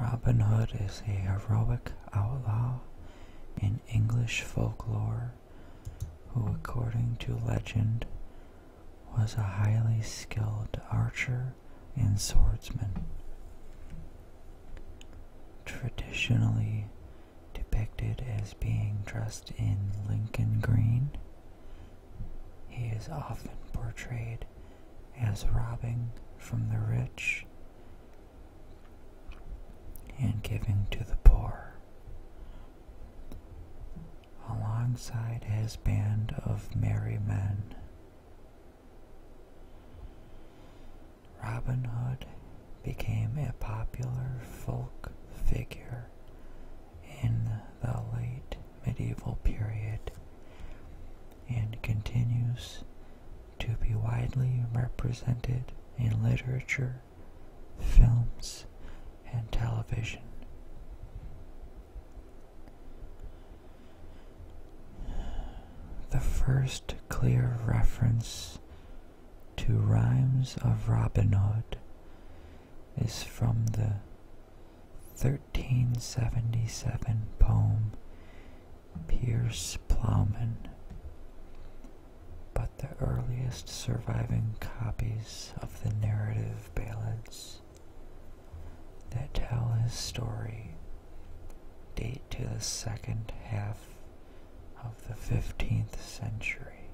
Robin Hood is a heroic outlaw in English folklore who according to legend was a highly skilled archer and swordsman. Traditionally depicted as being dressed in Lincoln green, he is often portrayed as robbing from the rich and giving to the poor. Alongside his band of merry men, Robin Hood became a popular folk figure in the late medieval period and continues to be widely represented in literature, films, and television. The first clear reference to rhymes of Robin Hood is from the 1377 poem Pierce Plowman, but the earliest surviving copies of the narrative ballads that tell his story date to the second half of the 15th century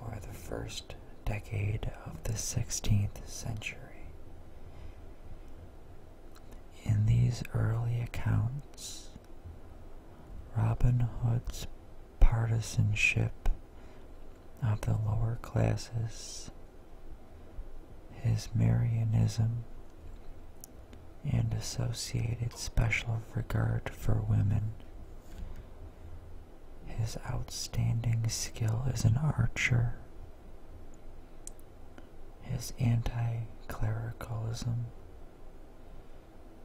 or the first decade of the 16th century. In these early accounts, Robin Hood's partisanship of the lower classes, his Marianism, and associated special regard for women his outstanding skill as an archer, his anti clericalism,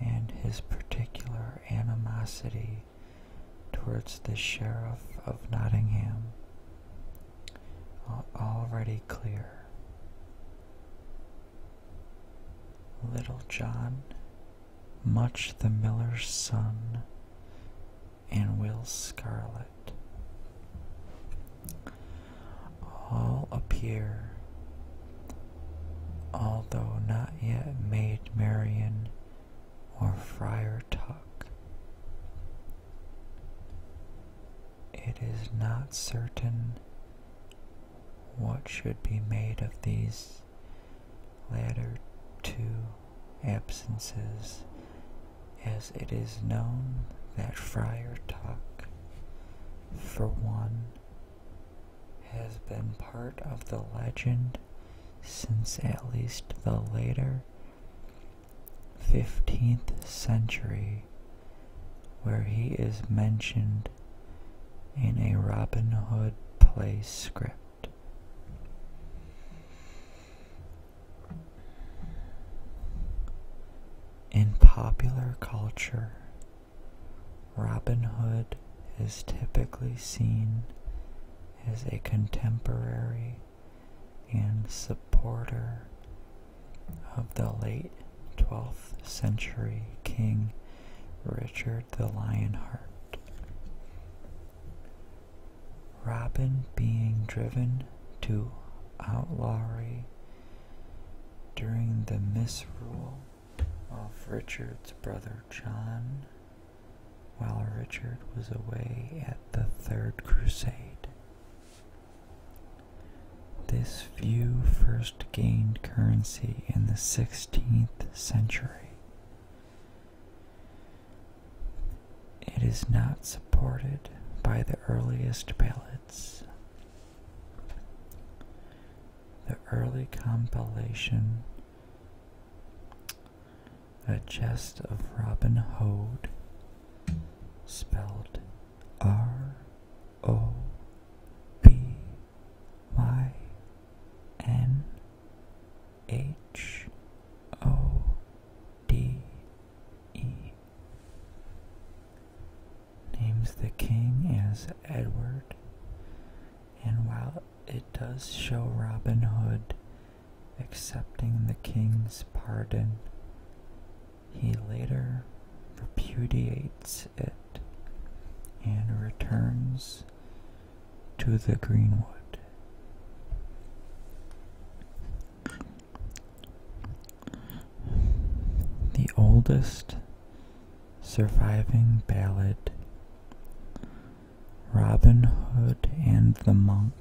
and his particular animosity towards the Sheriff of Nottingham are already clear. Little John much the Miller's Son, and Will Scarlet. All appear, although not yet made Marian or Friar Tuck. It is not certain what should be made of these Latter two absences, as it is known that Friar Tuck, for one, has been part of the legend since at least the later 15th century, where he is mentioned in a Robin Hood play script. In popular culture, Robin Hood is typically seen as a contemporary and supporter of the late 12th century king Richard the Lionheart. Robin being driven to outlawry during the misrule of Richard's brother John while Richard was away at the Third Crusade. This view first gained currency in the 16th century it is not supported by the earliest ballads. The early compilation, A Jest of Robin Hood, spelled R O B Y N H O D E. Names the king as Edward, and while it does show Robin Hood accepting the king's pardon, he later repudiates it and returns to the greenwood. The oldest surviving ballad, Robin Hood and the Monk,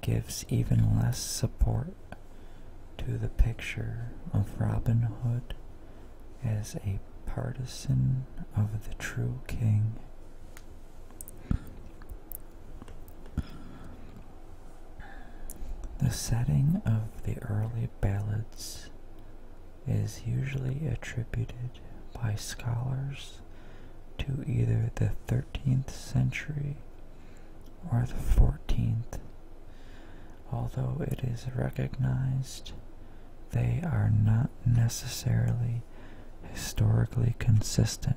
gives even less support to the picture of Robin Hood as a partisan of the true king. The setting of the early ballads is usually attributed by scholars to either the 13th century or the 14th, Although it is recognized, they are not necessarily historically consistent.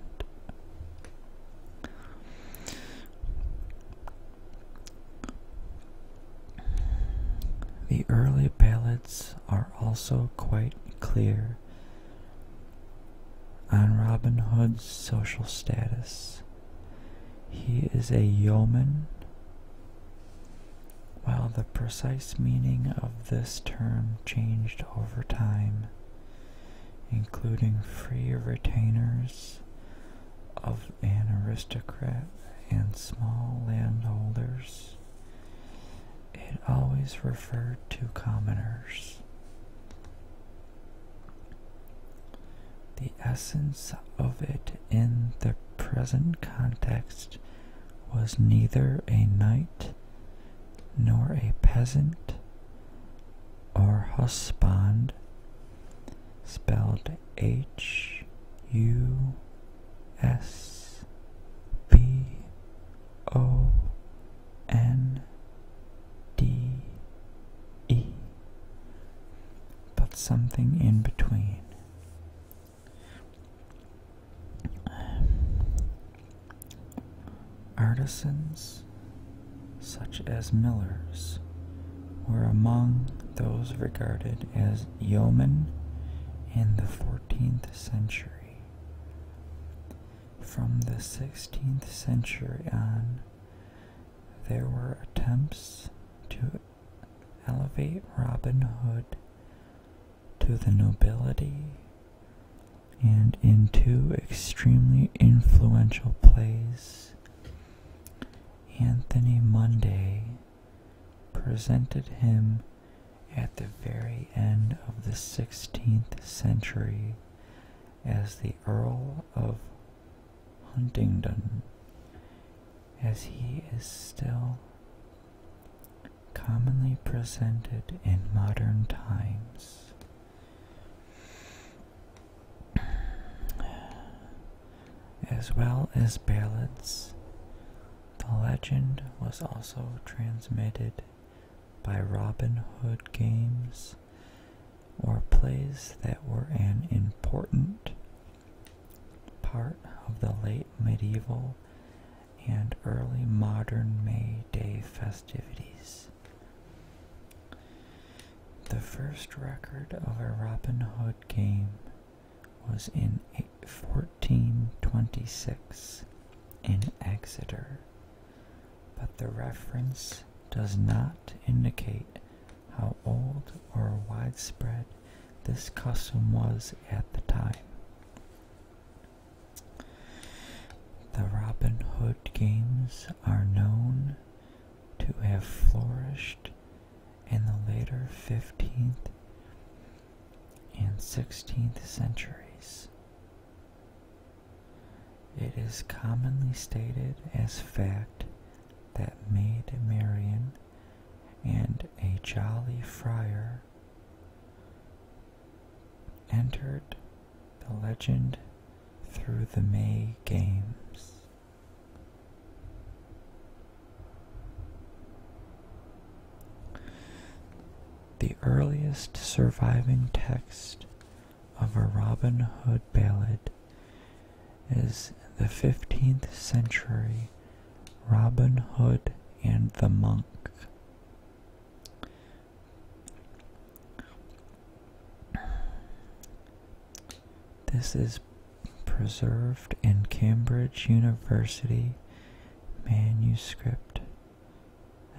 The early ballads are also quite clear on Robin Hood's social status. He is a yeoman while the precise meaning of this term changed over time, including free retainers of an aristocrat and small landholders, it always referred to commoners. The essence of it in the present context was neither a knight nor a peasant or husband, spelled H U S B O N D E, but something in between. Um, artisans, such as millers, were among those regarded as yeomen in the 14th century. From the 16th century on, there were attempts to elevate Robin Hood to the nobility and in two extremely influential plays, Anthony Munday presented him at the very end of the 16th century as the Earl of Huntingdon as he is still commonly presented in modern times. As well as ballads, the legend was also transmitted by Robin Hood games or plays that were an important part of the late medieval and early modern May Day festivities. The first record of a Robin Hood game was in 1426 in Exeter, but the reference does not indicate how old or widespread this custom was at the time. The Robin Hood games are known to have flourished in the later 15th and 16th centuries. It is commonly stated as fact that Maid Marian and a jolly friar entered the legend through the May Games. The earliest surviving text of a Robin Hood ballad is the 15th century Robin Hood and the Monk. This is preserved in Cambridge University manuscript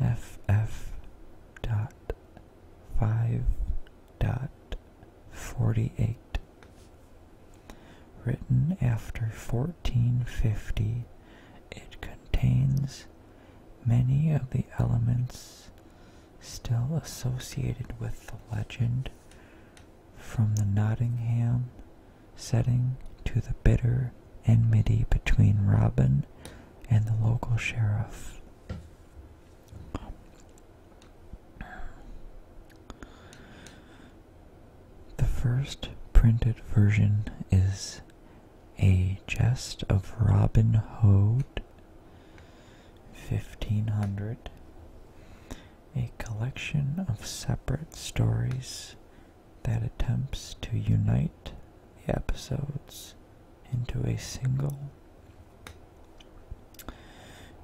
FF.5 dot 48 written after 1450 it contains many of the elements still associated with the legend from the nottingham setting to the bitter enmity between robin and the local sheriff the first printed version is a jest of Robin Hood, 1500, a collection of separate stories that attempts to unite the episodes into a single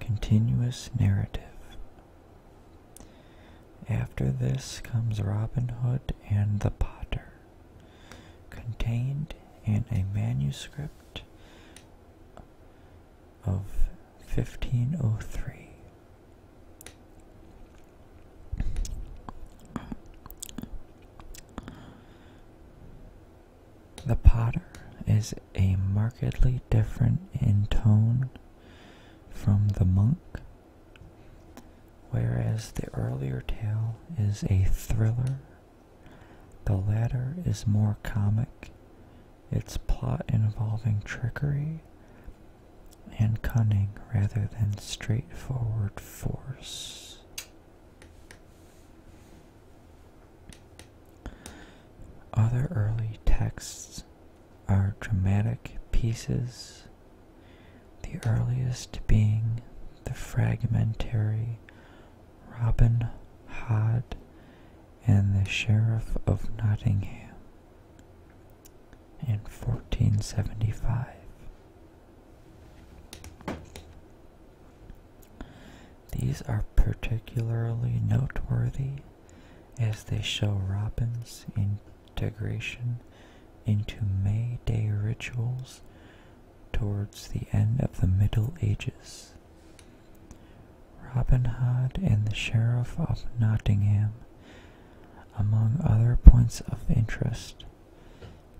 Continuous narrative. After this comes Robin Hood and the Potter, contained in a manuscript of 1503. The Potter is a markedly different in tone from the Monk, whereas the earlier tale is a thriller. The latter is more comic, its plot involving trickery and cunning rather than straightforward force. Other early texts are dramatic pieces, the earliest being the fragmentary Robin Hood and the Sheriff of Nottingham in 1475. These are particularly noteworthy as they show Robin's integration into May Day rituals towards the end of the Middle Ages. Robin Hood and the Sheriff of Nottingham, among other points of interest,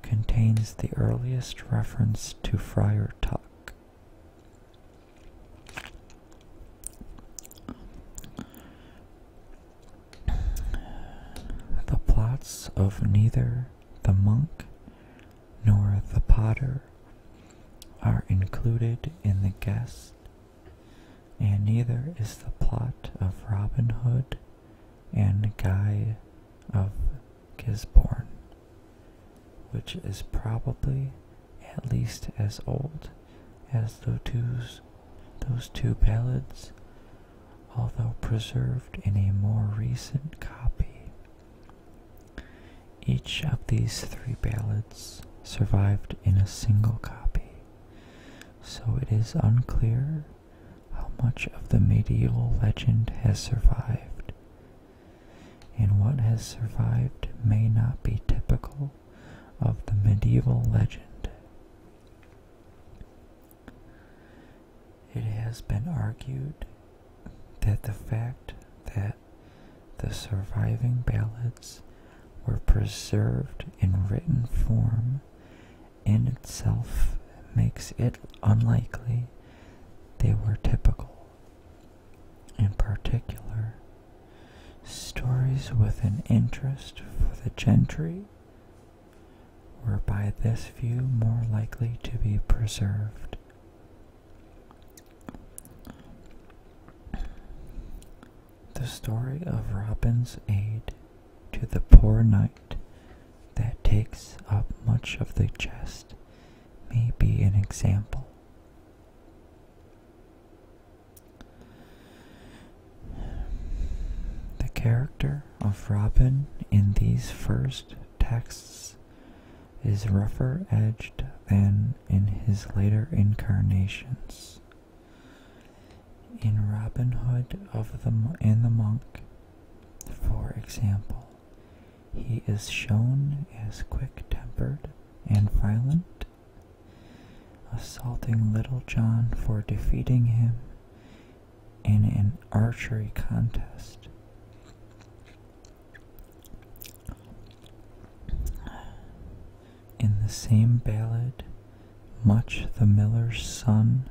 contains the earliest reference to Friar Tuck. The plots of neither the monk nor the potter are included in the guest, and neither is the plot of Robin Hood and Guy of Gisborne, which is probably at least as old as those two, those two ballads, although preserved in a more recent copy. Each of these three ballads survived in a single copy, so it is unclear how much of the medieval legend has survived and what has survived may not be typical of the medieval legend. It has been argued that the fact that the surviving ballads were preserved in written form in itself makes it unlikely they were typical. In particular, stories with an interest for the gentry were by this view more likely to be preserved. The story of Robin's aid to the poor knight that takes up much of the jest may be an example. The character of Robin in these first texts is rougher edged than in his later incarnations. In Robin Hood of the and the Monk, for example, he is shown as quick tempered and violent, assaulting Little John for defeating him in an archery contest. In the same ballad, Much the Miller's son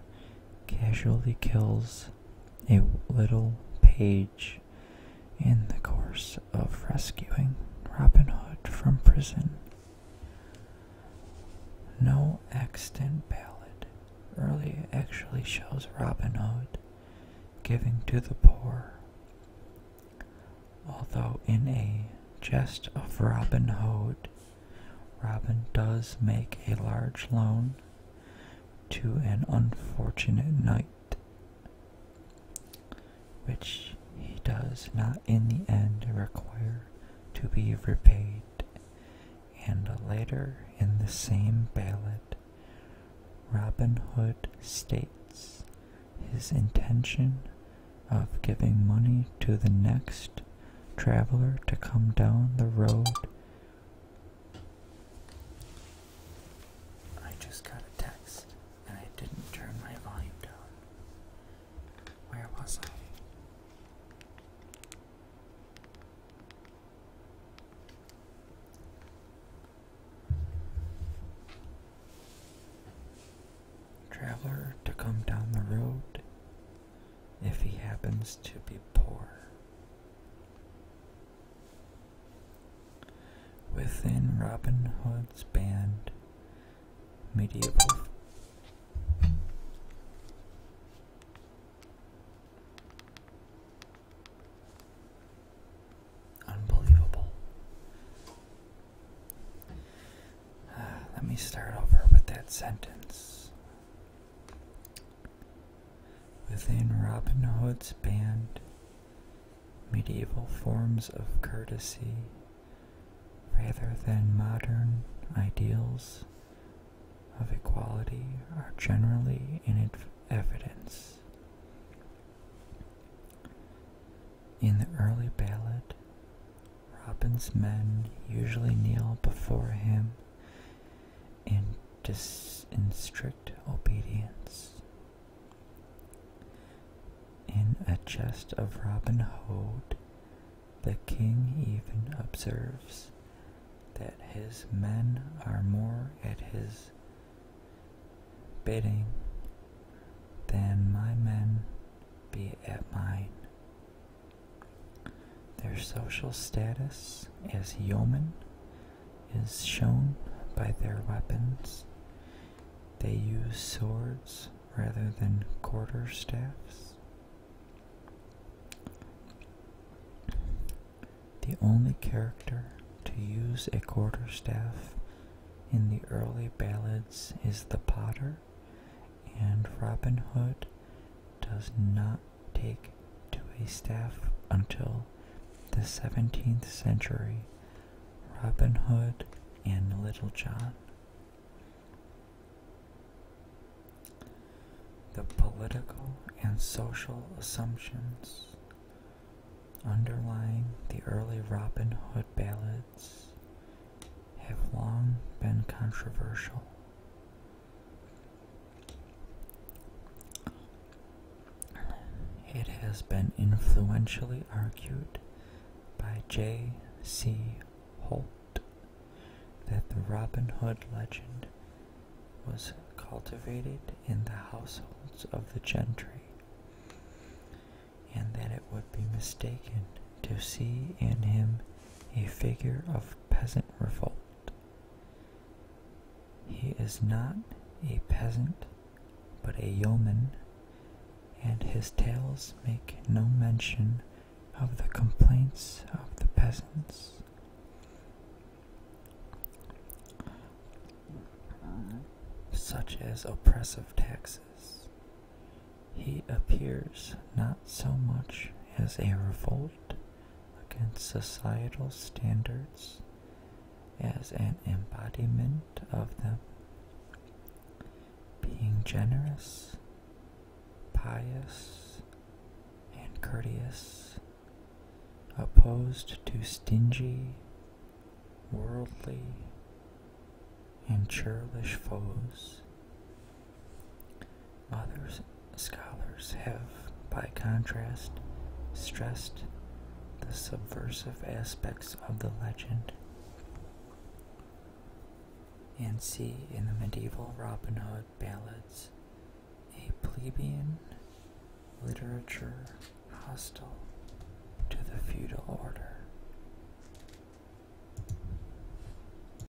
casually kills a little page in the course of rescuing Robin Hood from prison. No extant ballad early actually shows Robin Hood giving to the poor, although in a jest of Robin Hood, Robin does make a large loan to an unfortunate knight, which he does not in the end require to be repaid. And later in the same ballad, Robin Hood states his intention of giving money to the next traveler to come down the road I just got a text and I didn't turn my volume down. Where was I? Traveler to come down the road if he happens to be poor. Within Robin Hood's band, medieval Unbelievable. Ah, let me start over with that sentence. Within Robin Hood's band, medieval forms of courtesy, rather than modern ideals of equality, are generally in evidence. In the early ballad, Robin's men usually kneel before him in strict obedience. In a jest of Robin Hood, the king even observes that his men are more at his bidding than my men be at mine. Their social status as yeomen is shown by their weapons. They use swords rather than quarter staffs. The only character to use a quarter staff in the early ballads is the potter, and Robin Hood does not take to a staff until the 17th century, Robin Hood and Little John. The political and social assumptions underlying the early Robin Hood ballads have long been controversial. It has been influentially argued by J. C. Holt that the Robin Hood legend was cultivated in the households of the gentry, and that it would be mistaken to see in him a figure of peasant revolt. He is not a peasant, but a yeoman, and his tales make no mention of the complaints of the peasants. Such as oppressive taxes. He appears not so much as a revolt against societal standards as an embodiment of them. Being generous, pious, and courteous, opposed to stingy, worldly, and churlish foes other scholars have, by contrast, stressed the subversive aspects of the legend and see in the medieval Robin Hood ballads a plebeian literature hostile to the feudal order.